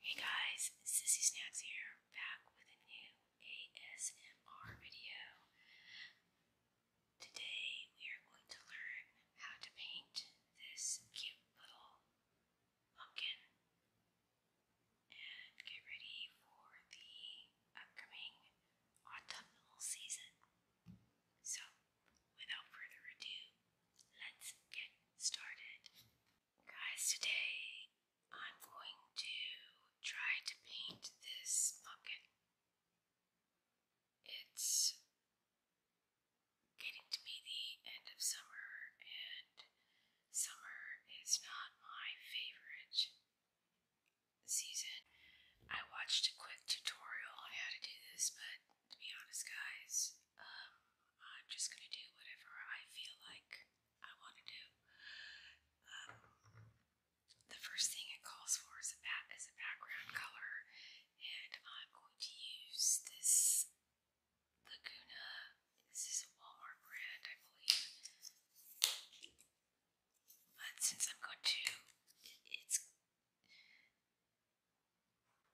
Hey guys, Sissy Snacks here, back with a new ASMR video. Today we are going to learn how to paint this cute little pumpkin and get ready for the upcoming autumnal season. So, without further ado, let's get started. Guys, today I'm going to try to paint this pumpkin. It's getting to be the end of summer, and summer is not my favorite season. I watched a quick tutorial on how to do this, but to be honest, guys, um, I'm just gonna do whatever I feel like I want to do. Um, the first thing it calls for is a, back, is a background color, and I'm going to use this Laguna. This is a Walmart brand, I believe. But since I'm going to, it's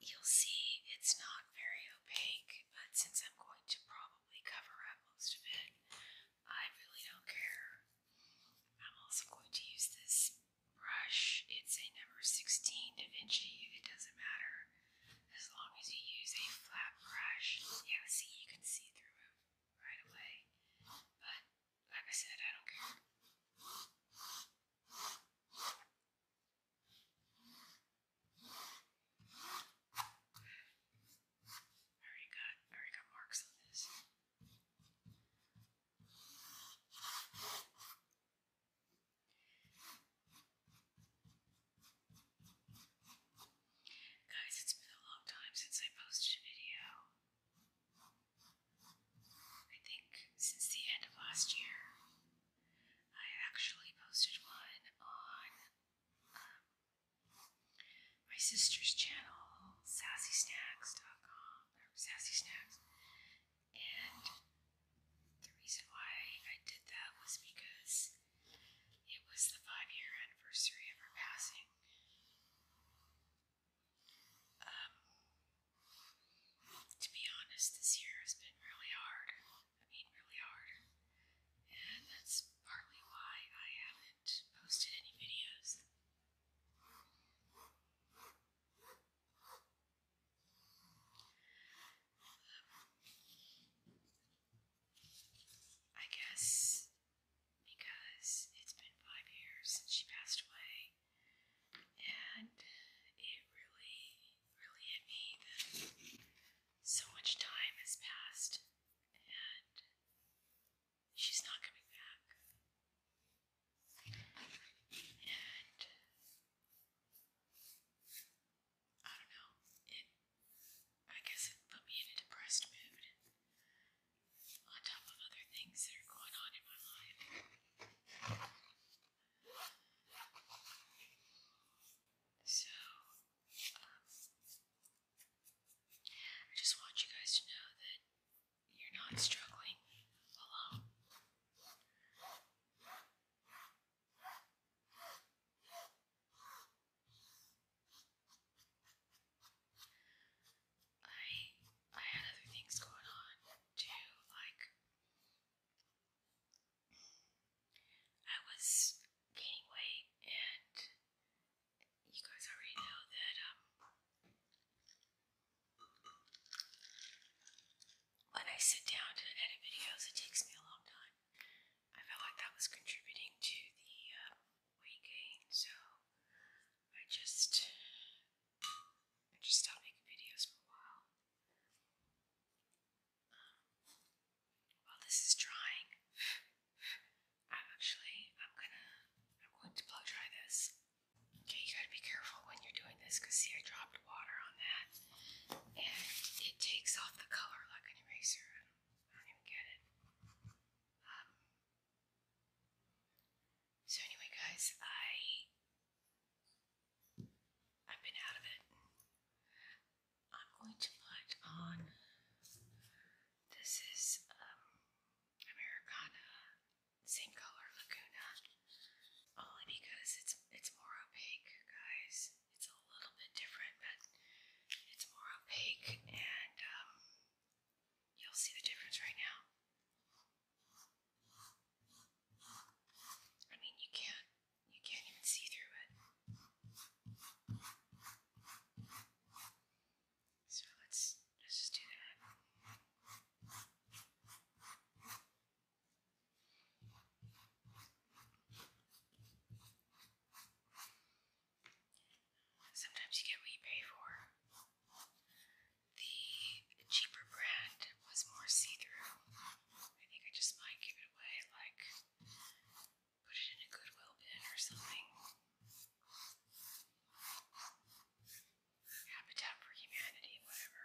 You'll see it's not very opaque, but since I'm going to probably cover up most of it, I really don't care. I'm also going to use this brush. It's a number 16 Da Vinci. It doesn't matter as long as you use a flat brush. Yeah, see, you can see through it right away. But like I said, I don't care. I already got, I already got marks on this. Guys, it's been a long time since I posted a video. I think since the end of last year. I actually posted one on um, my sister's channel, sassysnacks.com, Sassy snacks, and the reason why I did that was because it was the five year anniversary of her passing. Um, to be honest, this year has been really hard. I mean, really hard. And that's partly why I haven't posted any videos. Um, I guess because it's been five years since she passed away, and it really, really hit me so much time has passed and she's not coming back. And I don't know, it I guess it put me in a depressed mood on top of other things that are going on in my life. So I just want you guys to know that you're not struggling alone. I I had other things going on too, like I was gaining weight, and you guys already know that um, when I sit down to edit videos, it takes me a long time. I felt like that was contributing to the uh, weight gain, so I just I just stopped making videos for a while. While this is drying, actually I'm gonna I'm going to blow dry this. Okay, you gotta be careful when you're doing this because see I dropped water on that and it takes off the color like an eraser. I don't, I get it. Um, so anyway guys, I I've been out of it. I'm going to put on, this is um, Americana, same color Laguna, only because it's, it's more opaque, guys. It's a little bit different, but it's more opaque and um, you'll see the difference right now. I mean, you can't you can't even see through it. So let's, let's just do that. Sometimes you get what you pay for. The cheaper brand was more see through. I think I just might give it away like put it in a Goodwill bin or something. Habitat for Humanity, whatever.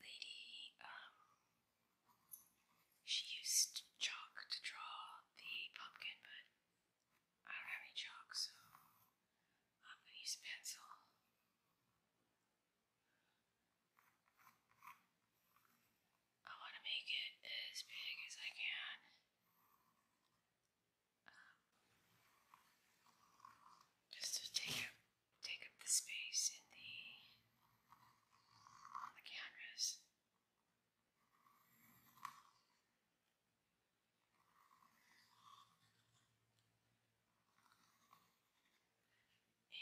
lady, um, she used chalk to draw the pumpkin, but I don't have any chalk, so I'm going to use pencil. I want to make it as big as I can. Um, just to take up, take up the space in the on the cameras.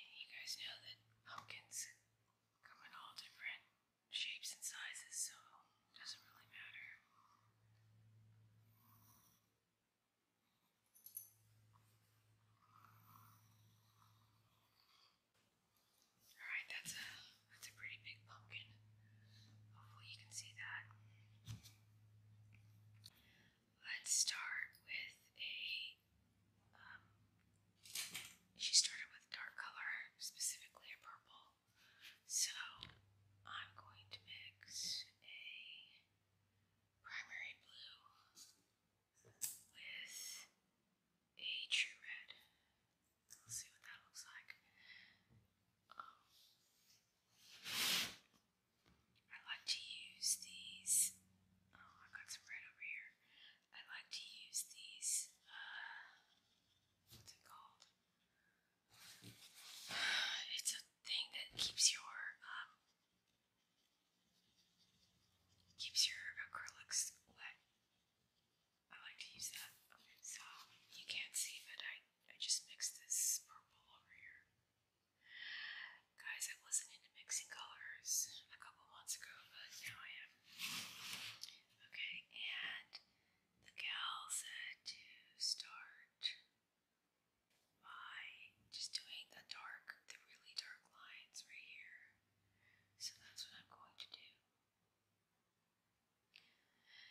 you guys know that pumpkins come in all different shapes and sizes, so it doesn't really matter. Alright, that's a that's a pretty big pumpkin. Hopefully you can see that. Let's start with a um, she started with dark color, specifically a purple. So I'm going to mix a primary blue with a true red. see what that looks like. Um, I like to use these. Oh, I got some red over here. I like to use these. Uh, what's it called? It's a thing that keeps your um, Keeps your acrylics wet. I like to use that. so you can't see, but I, I just mixed this purple over here. Guys, I wasn't into mixing colors a couple months ago, but now I am. Okay, and the gal said to start by just doing the dark, the really dark lines right here. So that's what I'm going to do.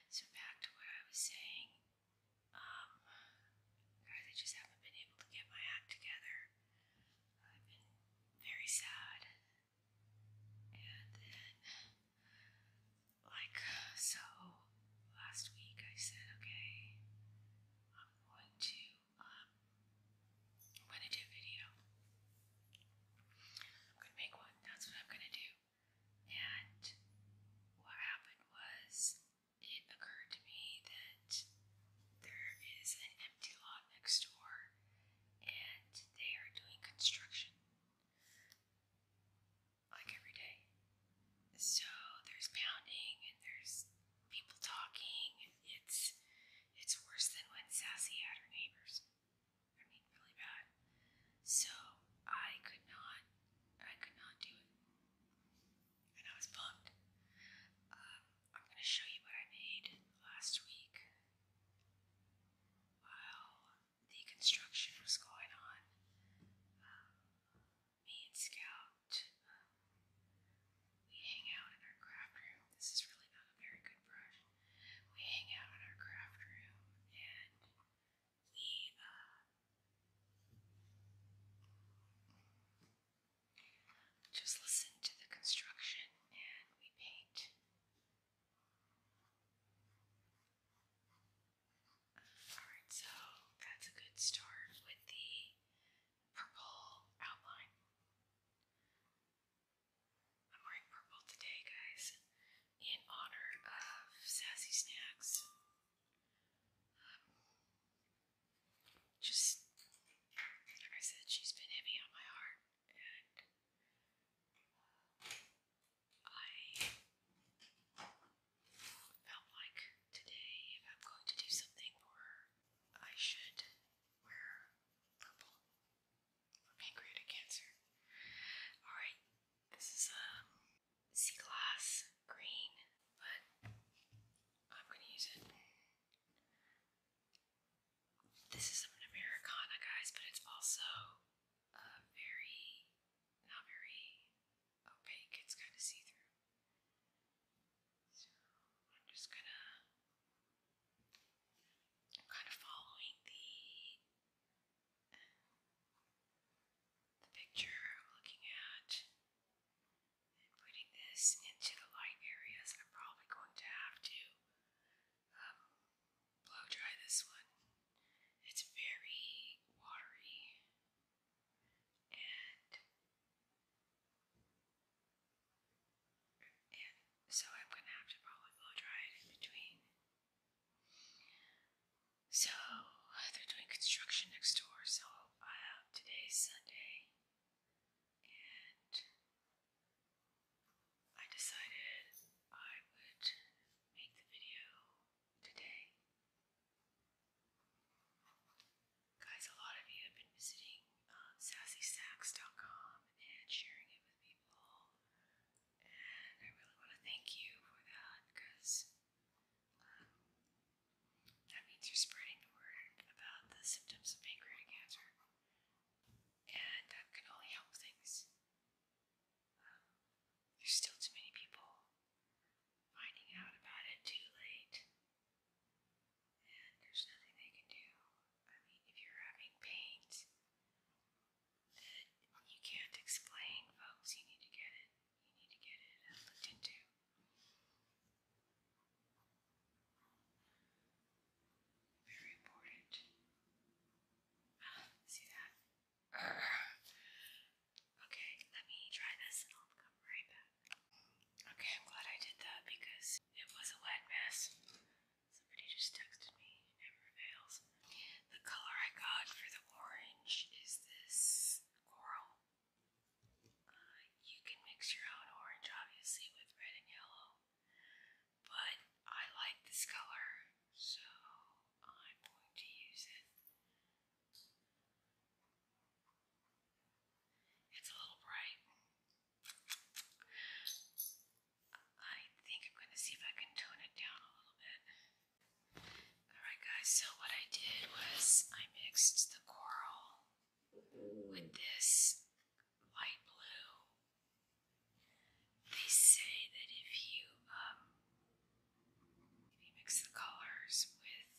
So back to what I was saying, um, guys, I just haven't been able to get my act together. I've been very sad, and then, like, so last week I said, okay, I'm going to um, when I do a video. I'm gonna make one, that's what I'm gonna do. And what happened was it occurred to me that there is an empty lot next door and they are doing construction like every day. So there's pounding and there's people talking it's it's worse than when Sassy had her neighbors. I mean, really bad. So I could not, I could not do it. And I was bummed. Um, I'm going to show you what I made last week while the construction was going on. Um, me and Scout um, we hang out in our craft room. This is really not a very good brush. We hang out in our craft room and we, uh, just listen to the construction and we paint. Alright, so that's a good start with the purple outline. I'm wearing purple today, guys, in honor of Sassy Snacks. Um, just, like I said, she's been heavy on my heart, and uh, I felt like today, I'm going to do something for her, I should wear purple pancreatic cancer. Alright, this is a um, sea glass green, but I'm gonna use it. This is an Americana, guys, but it's also uh, very, not very opaque, it's kind of see through. So I'm just gonna I'm kind of following the the picture I'm looking at and putting this into the light areas. I'm probably going to have to um, blow dry this one. It's very watery and and so I'm going to have to probably blow dry it in between. So they're doing construction next door, so today's Sunday, and I decided I would make the video today. Guys, a lot of you have been visiting um, and sharing it people, and I really want to thank you for that because um, that means you're spreading the word about the symptoms of pancreatic cancer, and that can only help things. Um, there's still too many people finding out about it too late there's nothing they can do. I mean, if you're having pains that you can't explain, folks, you need to get it. You need to get it uh, looked into. Very important. Ah, see that? Okay, let me try this and I'll come right back. Okay, I'm glad I did that because it was a wet mess. Somebody just texted me, never fails. The color I got for the orange is this coral. Uh, you can mix your own orange, obviously, with red and yellow. But I like this color, so I'm going to use it. It's a little bright. I think I'm going to see if I can tone it down a little bit. Alright guys, so what I did was I mixed the coral with this light blue. They say that if you, um, mix the colors with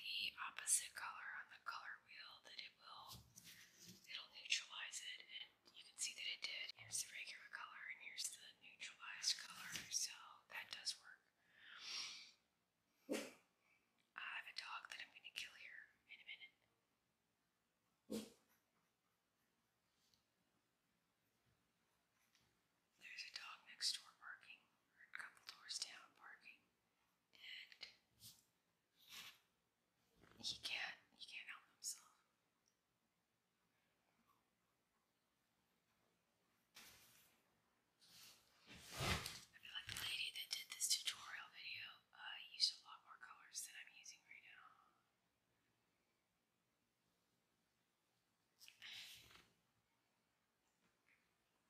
the opposite color on the color wheel that it will, it'll neutralize it and you can see that it did. Here's the regular color and here's the neutralized color, so that does work. I have a dog that I'm going to kill here in a minute. There's a dog next door barking, or a couple doors down barking, and he can't. He can't help himself. I feel like the lady that did this tutorial video uh, used a lot more colors than I'm using right now.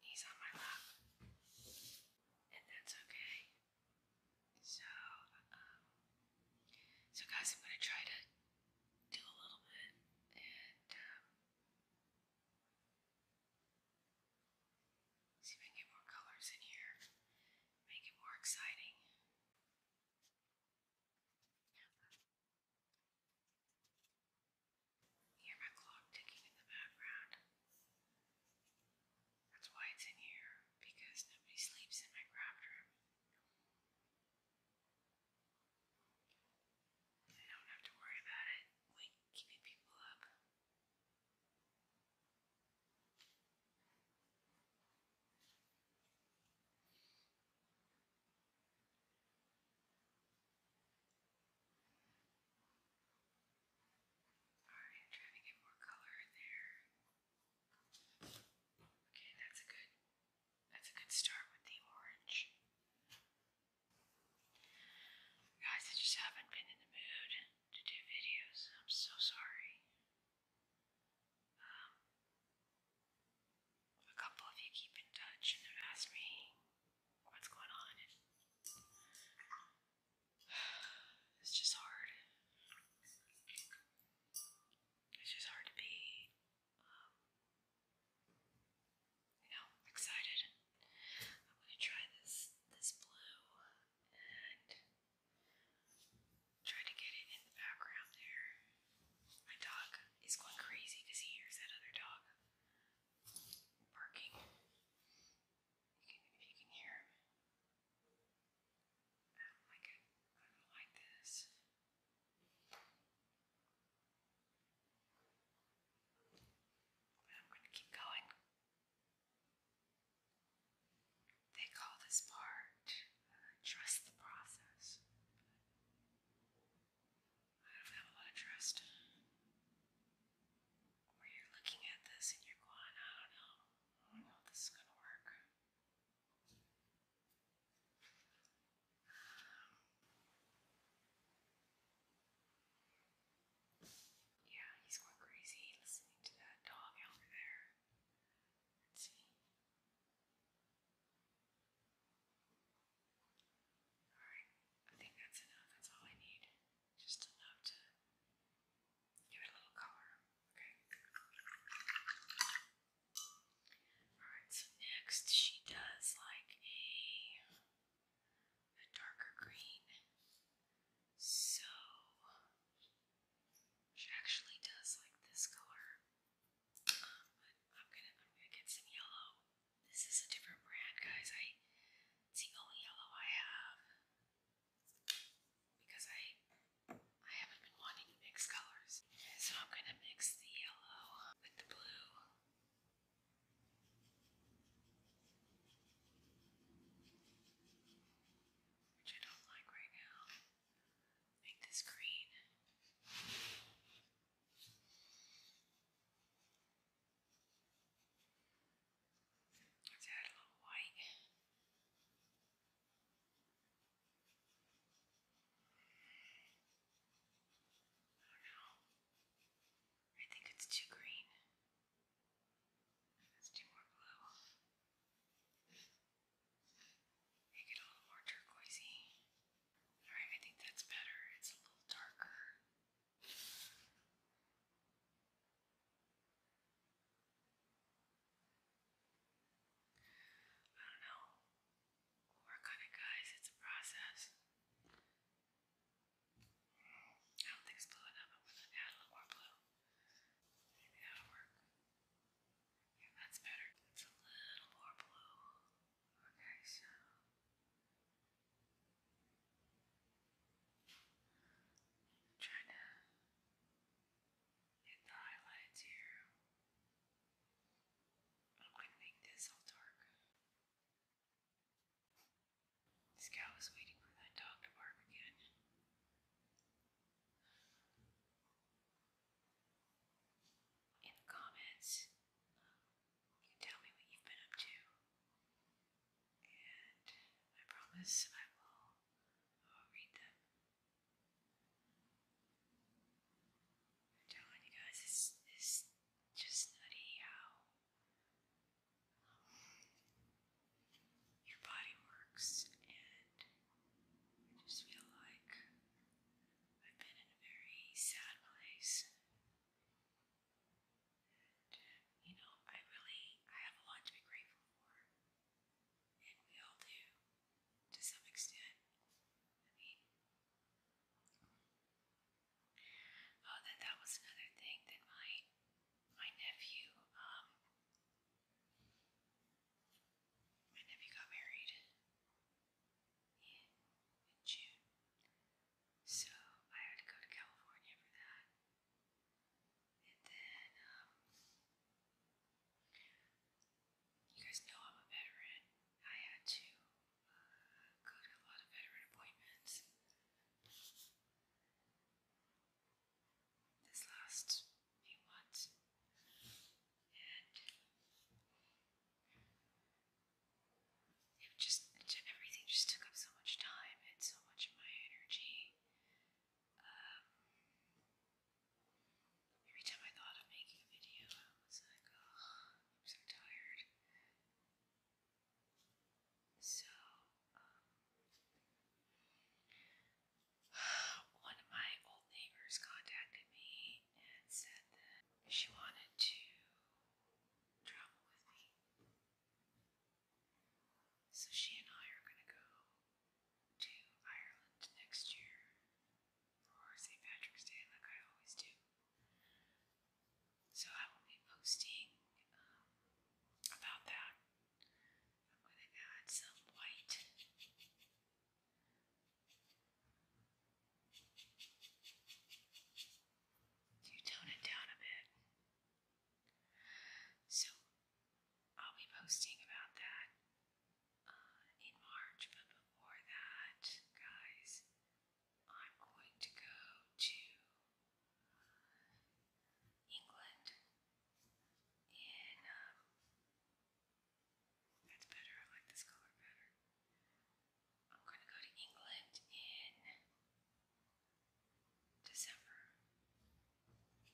He's on my lap, and that's okay. So, um, so guys, I'm gonna try to do a little bit and um, see if I can get more colors in here, make it more exciting. Hear my clock ticking in the background. That's why it's in here, because nobody sleeps in my craft room. I don't have to worry about it wake people up. Alright, trying to get more color in there. Okay, that's a good that's a good start with the orange. Guys, I just haven't been in the mood to do videos. I'm so sorry. Um, a couple of you keep in touch and have asked me what's going on It's just hard. It's just hard to be, um, you know, excited. I'm gonna try this this blue and try to get it in the background there. My dog is going crazy because he hears that other dog barking. if you can hear I don't like it. I don't like this. But I'm going to keep going. They call this part trust the process. I don't have a lot of trust. Where you're looking at this and you're going, I don't know. I don't know if this is going to work. Yeah, he's going crazy listening to that dog out there. Let's see. Alright, I think that's enough. That's all I need. Just enough to Give it a little color, okay? Alright, so next she does like a, a darker green. So she actually does like this color. but I'm gonna I'm gonna get some yellow. This is a different brand, guys. I it's the only yellow I have because I I haven't been wanting to mix colors. So I'm gonna mix the yellow with the blue. Which I don't like right now. Make this green. Let's add a little white. Oh, I think it's too green. Let's do more blue. Make it a little more turquoisey. Alright, I think that's better. It's a little darker. I don't know. work on it, guys. It's a process. I don't think it's blue enough. I'm a little more blue. Maybe that'll work. Yeah, that's better. It's a little more blue. Okay, so. trying to in the highlights here. I'm gonna make this all dark. This cow is waiting for that dog to bark again. In the comments, you tell me what you've been up to. And I promise I will read them I'm telling you guys, it's, it's just nutty how um, your body works, and I just feel like I've been in a very sad place. you know, I really, I have a lot to be grateful for, and we all do to some extent. I mean, oh, that that was another thing that my my nephew um my nephew got married in, in June, so I had to go to California for that. And then, um, you guys know I'm a veteran. I had to uh, go to a lot of veteran appointments. This last few months. And it just, everything just took up so much time and so much of my energy. Um, Every time I thought of making a video, I was like, oh, I'm so tired. So, um, one of my old neighbors contacted me and said that she wanted to travel with me. So she and I are going to go to Ireland next year for St. Patrick's Day, like I always do. So I will be posting um, about that. I'm going to add some white. To tone it down a bit. So I'll be posting about that uh, in March, but before that, guys, I'm going to go to England in. Um, that's better, I like this color better. I'm going to go to England in December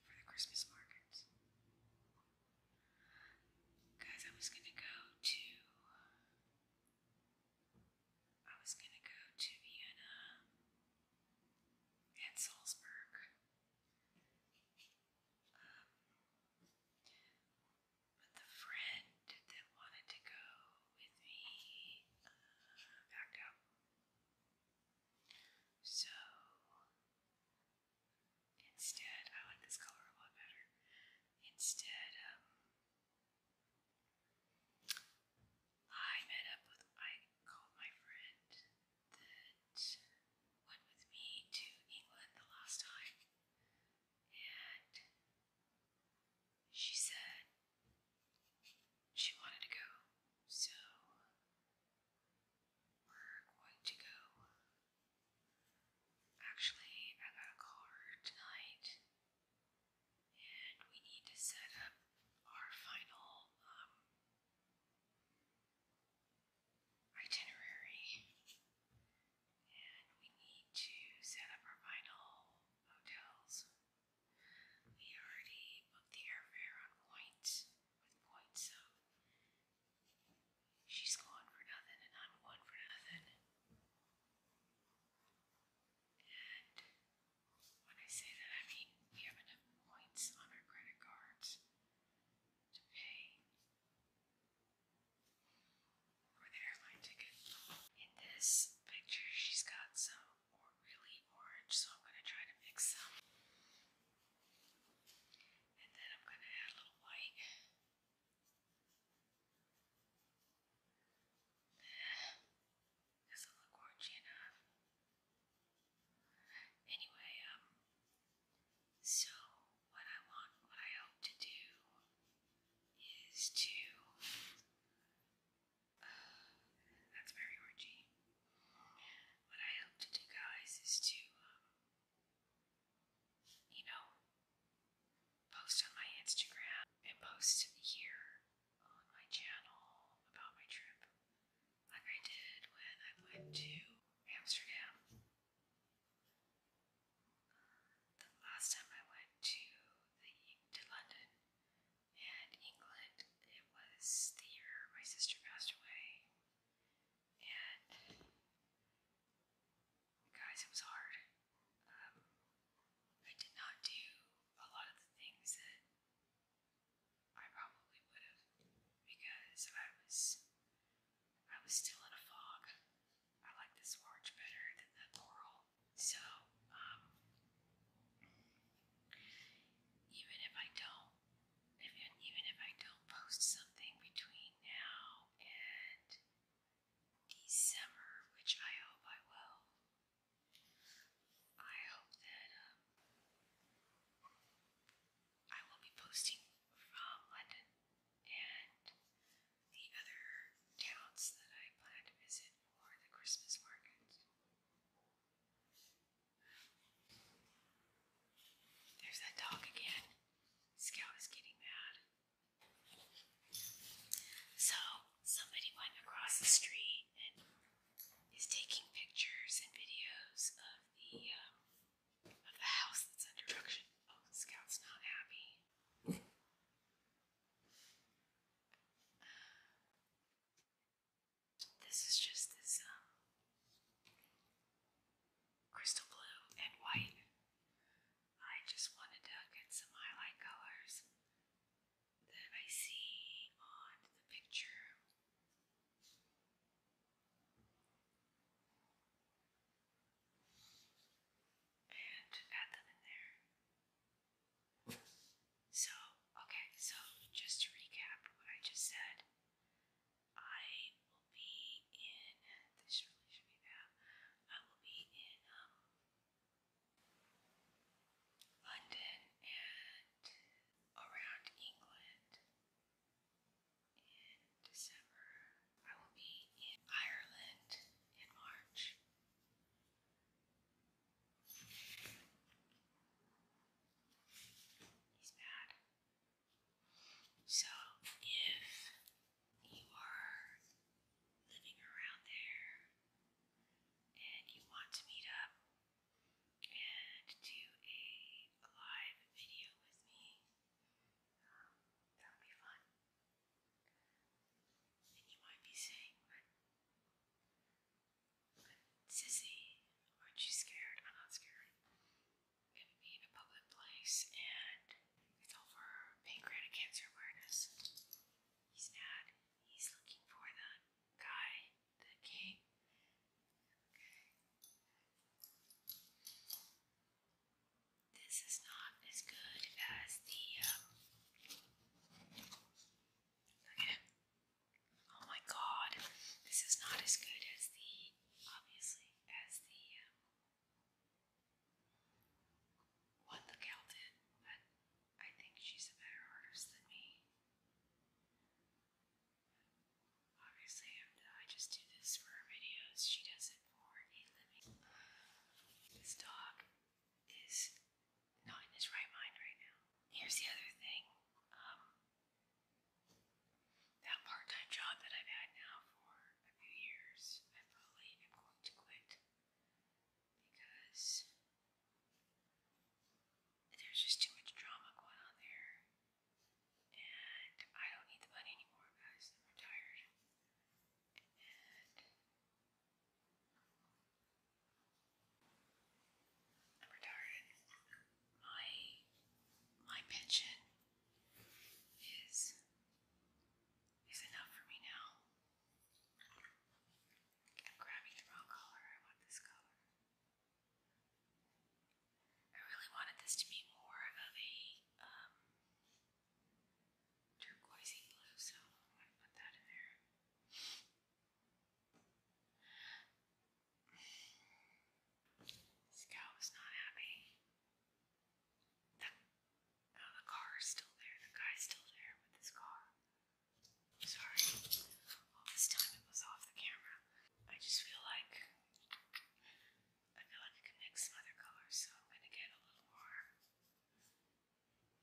for the Christmas markets. Guys, I was gonna go to I was gonna go to Vienna and Salzburg. Um, but the friend that wanted to go with me uh, backed out. So Instead, I like this color a lot better. Instead, um, I met up with, I called my friend that went with me to England the last time, and she said she wanted to go, so we're going to go. Actually, I got a call tonight, and we need to set up our final um, itinerary, and we need to set up our final hotels. We already booked the airfare on Point with Point, She's gone for nothing, and I'm gone for nothing. And when I say that, I mean we have enough points on our credit cards to pay for the airline ticket. In this picture, she's got some really orange, so I'm going to try to mix some. And then I'm going to add a little white. Doesn't look orangey enough. Anyway, um, so what I want, what I hope to do is to, uh, that's very orangey. What I hope to do, guys, is to, um, you know, post on my Instagram and post here on my channel about my trip, like I did when I went to Amsterdam. The last time I went to the to London and England, it was the year my sister passed away and guys, it was hard. Um, I did not do a lot of the things that I probably would have because I was I was still in a fog. I like this orange better than the coral, so um, even if I don't even if I don't post something between now and December, which I hope I will, I hope that um, I will be posting from London and the other towns that I plan to visit for the Christmas market. There's that dog again. Scout is getting mad. So, somebody went across the street and is taking pictures and videos of the um, of the house that's under construction. Oh, Scout's not happy. this is just this um, crystal blue and white. I just wanted to get some highlight colors that I see on the picture. And add them in there. So, okay, so just to recap what I just said, I will be in. This really should be that. I will be in um, London and around England in December. I will be in Ireland in March. He's bad. So if you are living around there and you want to meet up and do a live video with me, um, that would be fun. And you might be saying, but Sissy, aren't you scared? I'm not scared gonna be in a public place and it's all for pancreatic cancer awareness. He's mad. He's looking for the guy that came. This is not as good as the um Oh my god. This is not as good as the obviously as the um, what the gal but I think she's a better artist than me. Obviously, I just do this for videos. She does it for a living. This dog is not in his right mind right now. Here's the other thing. Um, that part-time job that I've had now for a few years, I probably am going to quit because there's just too much drama going on there, and I don't need the money anymore, guys. I'm retired, I'm retired. My my pension is is enough for me now. grabbing the wrong color. I want this color. I really wanted this to be more of a um, turquoisey blue, so I'm going to put that in there. Scout was not happy the, the car is still there. The guy's still there with his car. Sorry. All this time it was off the camera. I just feel like I feel like I can mix some other colors, so I'm gonna get a little more.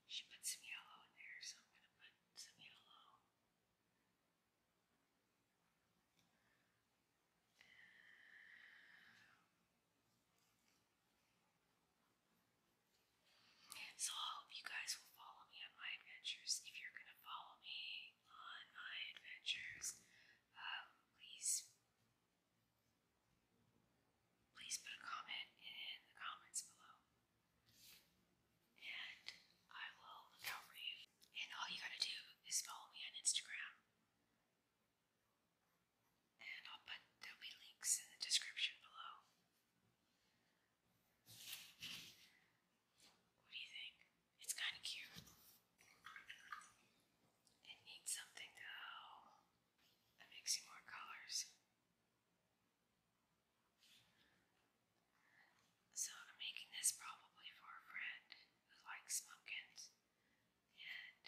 She put some yellow in there, so I'm gonna put some yellow. So I hope you guys will follow me on my adventures. If you're gonna follow me on my adventures, um, please, please put a comment in the comments below, and I will look out for you. And all you gotta do is follow me on Instagram and I'll put, there'll be links in the description below. What do you think? It's kind of cute. It needs something though that makes you more colors. So I'm making this probably for a friend who likes pumpkins and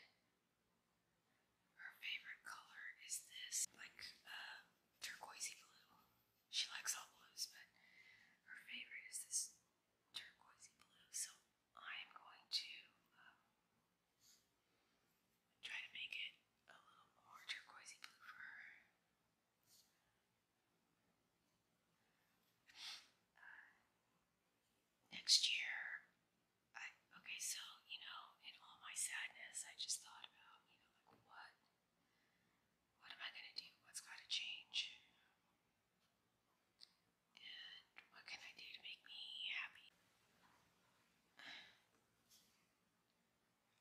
her favorite color is this, like uh, turquoisey blue. She likes all blues, but her favorite is this turquoisey blue. So I'm going to um, try to make it a little more turquoisey blue for her. Uh, next year, I, okay, so, you know, in all my sadness, I just thought about, you know, like what? What am I going to do? What's got to change? And what can I do to make me happy?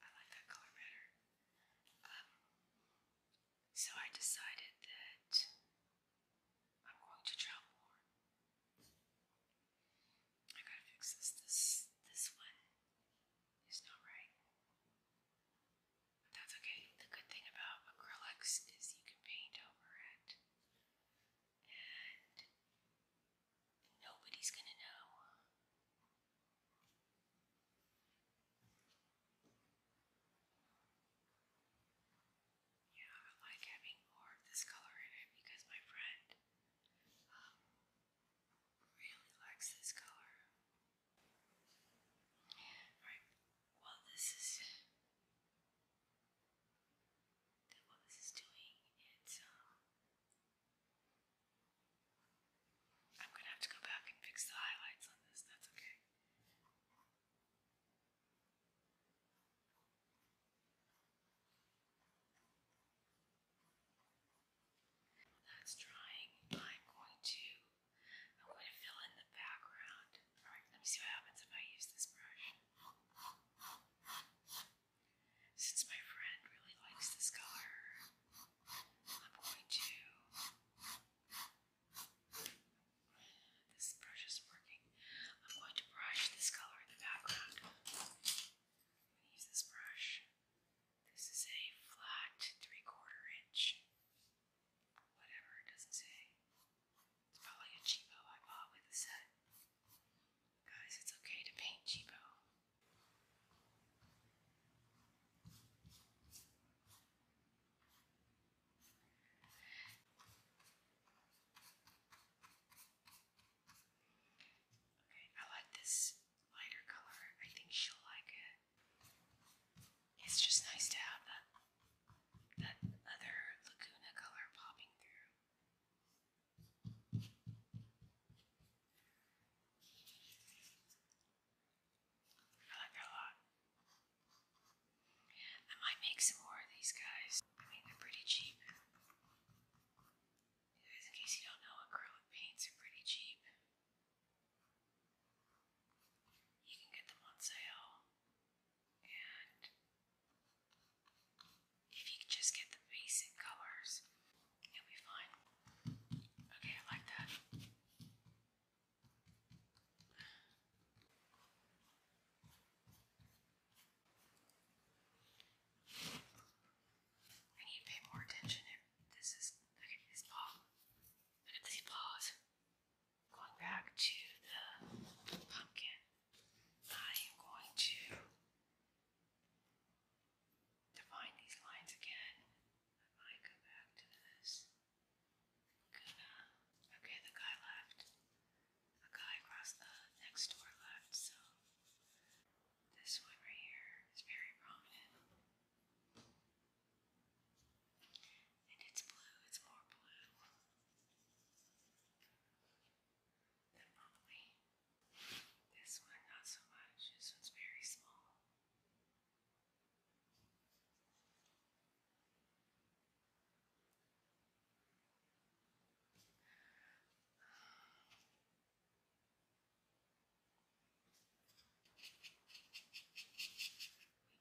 I like that color better. Um, so I decided that I'm going to draw more. I gotta fix this. This this one is not right. But that's okay. The good thing about acrylics is you can paint over it. And nobody's gonna know. Yeah, I like having more of this color in it because my friend um, really likes this color. Alright, well, this is. What this is doing, it's. Um, I'm gonna have to go back and fix the highlights on this, that's okay that's drying, I'm going to I'm going to fill in the background. Alright, let me see what happens if I use this brush. Since my friend really likes this color, I'm going to this brush is working. I'm going to brush this color in the background. use this brush. This is a flat three quarter inch. Whatever it doesn't say. It's probably a cheapo I bought with a set. Guys, it's okay to paint cheapo. I like this lighter color. I think she'll like it. It's just nice to have that that other Laguna color popping through. I like that a lot. I might make some more of these guys. I mean, they're pretty cheap. Guys, in case you don't know, acrylic paints are pretty cheap. You can get them on sale, and if you just get the basic colors, you'll be fine. Okay, I like that. I need to pay more attention if this is look at his paw. Look at Going back to the pumpkin. I am going to define these lines again. I might go back to this. okay, the guy left a guy across the next door left, so this one right here is very prominent. And it's blue, it's more blue than probably this one, not so much. This one's very small. We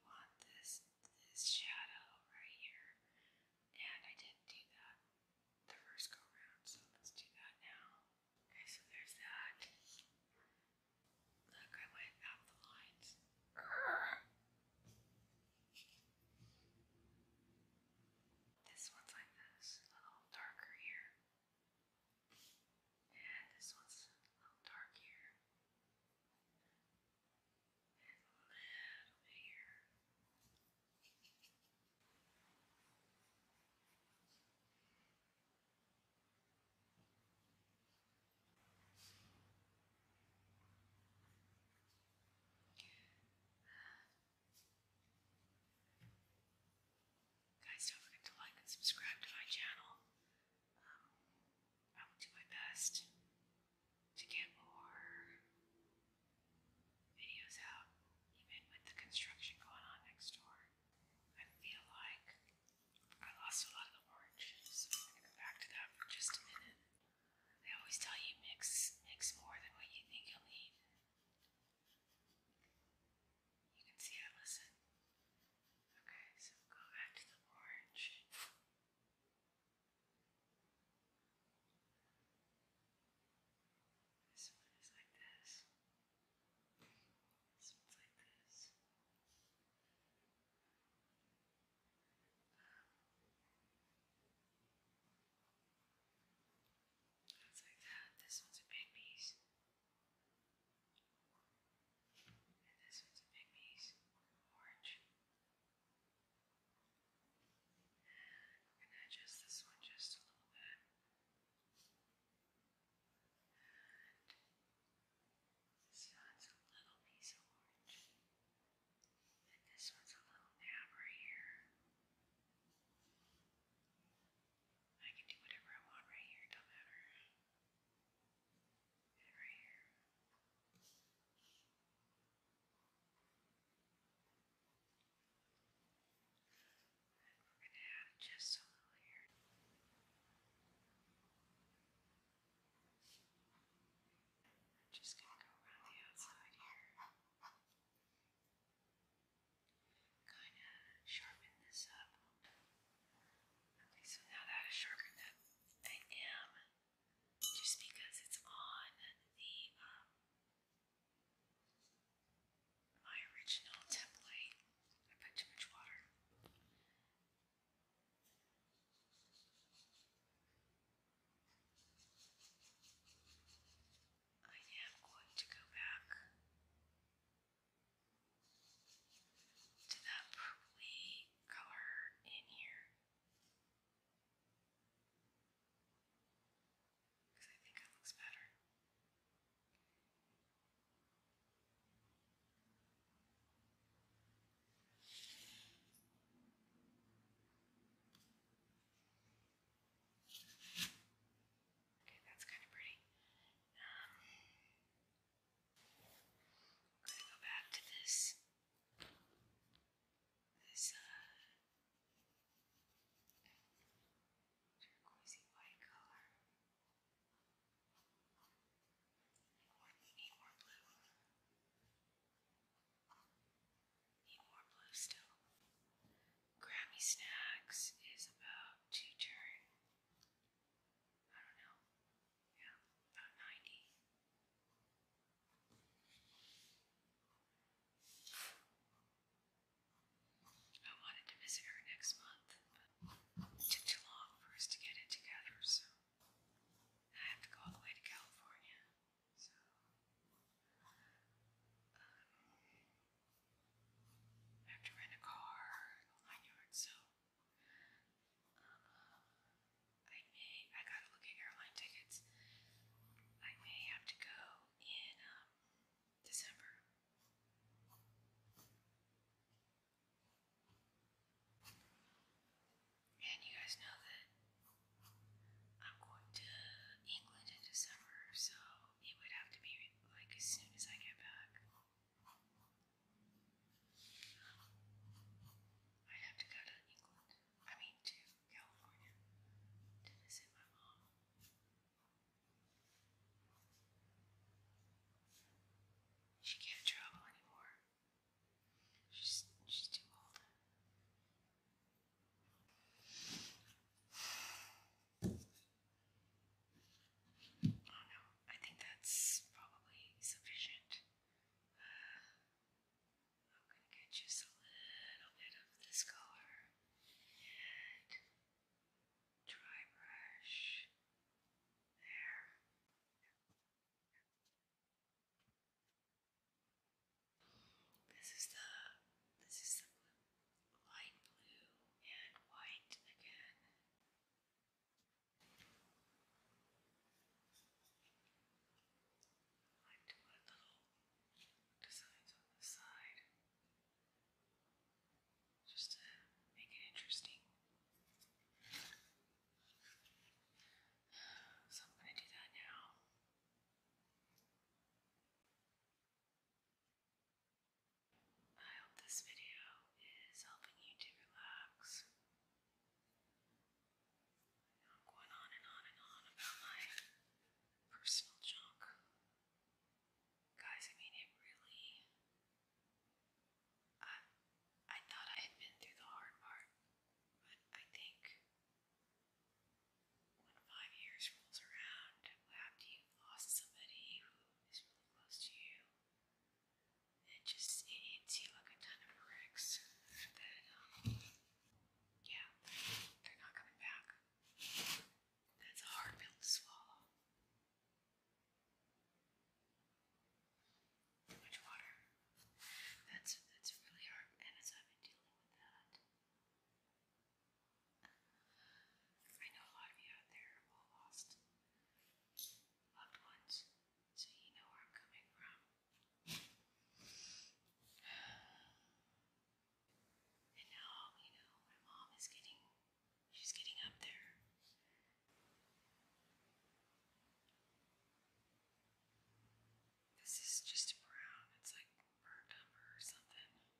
want this this shadow right here, and I didn't do that the first go round, so let's do that now. Okay, so there's that. Look, I went out the lines. This one's like this, a little darker here. And this one's a little dark here. And a little here. Guys, don't forget to like and subscribe to my channel. Um, I will do my best to get more videos out, even with the construction going on next door. I feel like I lost a lot of the orange, I'm going to go back to that for just a minute. They always tell you mix mix more than what you think you'll need. You can see I listen. Okay, so go back to the orange. This one is like this. This one's like this. Um, it's like that. This one's a big piece. this one's a big Orange. we're going to adjust this one just a little bit. And this one's a little piece of orange this one's a little dab right here. I can do whatever I want right here, don't matter. right here. we're gonna have just a little here. just gonna go around the outside here. Kind of sharpen this up. Okay, so now that is sharpened up, I am just because it's on the um, my original template. I put too much water. I am going to go back to that purpley color in here. Because I think it looks better. Okay, that's kind of pretty. Um, I'm gonna go back to this. This, uh, turquoisey white color. need more blue. Need more blue still. Grammy Snacks is about to turn, I don't know, yeah, about 90. I wanted to visit her next month, but it took too long for us to get it together, so I have to go all the way to California. So, I have to rent a car, nine yards, so uh, I may, I gotta look at airline tickets. I may have to go in um, December. And you guys know that I'm going to England in December, so it would have to be like as soon as I get back. i have to go to England, I mean to California, to visit my mom. She can't travel anymore. She's she's too old. I think that's probably sufficient. Uh, I'm gonna get just a little bit of this color and dry brush there. This is the this is the light blue and white again. I like to little designs on the side just to make it interesting. So I'm going to do that now. I hope this video is helping you to relax. going on and on and on about my personal junk. Guys, I mean, it really. I, I thought I had been through the hard part, but I think when five years rolls around after you've lost somebody who is really close to you, it just it hits you like a ton of bricks that, um, yeah, they're not coming back. That's hard pill to swallow. Too much water. That's that's really hard, and as I've been dealing with that, I know a lot of you out there all lost loved ones, so you know where I'm coming from. And now, you know, my mom is getting, she's getting up there. This is just brown, it's like burnt umber or something.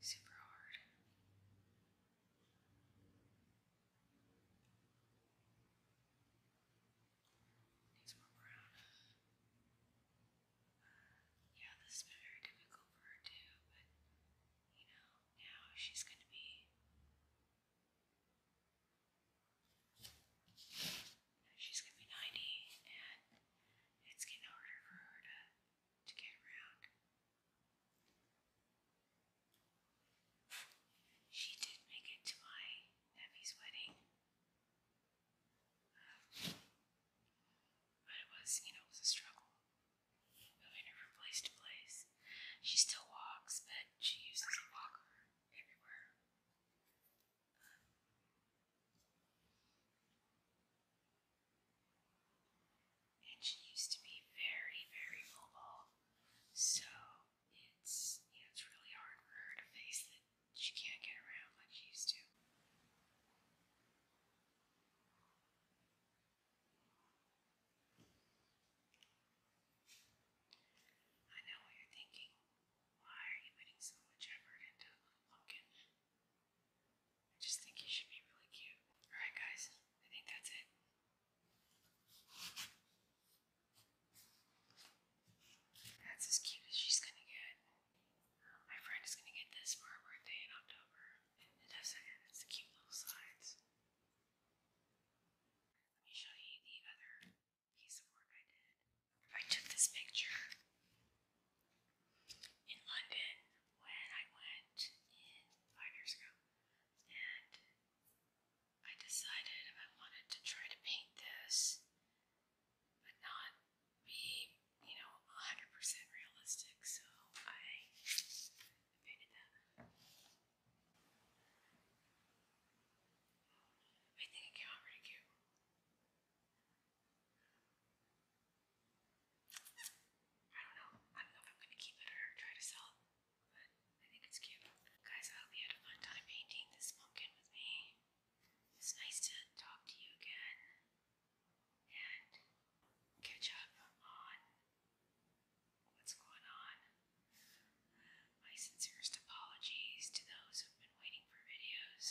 super hard. Needs more brown. Uh, yeah, this has been very difficult for her too, but you know, now she's gonna be. She's gonna be 90, and it's getting harder for her to to get around. She did make it to my nephew's wedding. Um, but it was, you know, it was a struggle. Moving her from place to place. She still walks, but she uses a walker everywhere. And she used to be very, very mobile, so it's you know, it's really hard for her to face that she can't get around like she used to. I know what you're thinking. Why are you putting so much effort into a I just think he should be really cute. Alright, guys, I think that's it. That's as cute as she's gonna get. my friend is gonna get this for her birthday in October. It does it, it's the cute little sides. Let me show you the other piece of work I did. I took this picture in London when I went in five years ago, and I decided I wanted to try to paint this, but not be, you know, 100% realistic, so I painted that. I think it came out pretty cute. I don't know. I don't know if I'm going to keep it or try to sell it, but I think it's cute. Guys, I hope you had a fun time painting this pumpkin with me. It's nice to talk to you again and catch up on what's going on. My sincerest apologies to those who've been waiting for videos.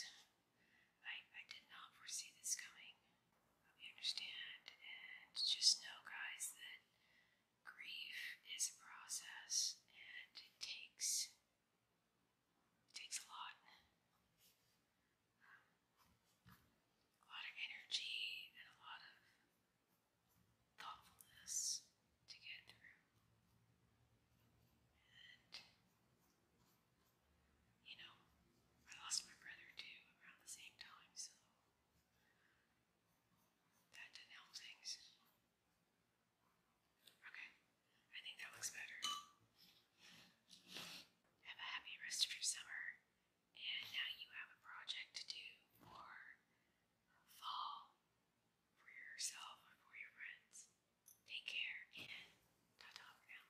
I, I did not foresee this coming hope you understand. And just know, guys, that grief is a process and it takes takes a lot. Um, a lot of energy and a lot of thoughtfulness to get through you know, I lost my brother too around the same time, so that didn't help things. Okay, I think that looks better. Have a happy rest of your summer, and now you have a project to do for fall for yourself or for your friends. Take care and ta ta for now.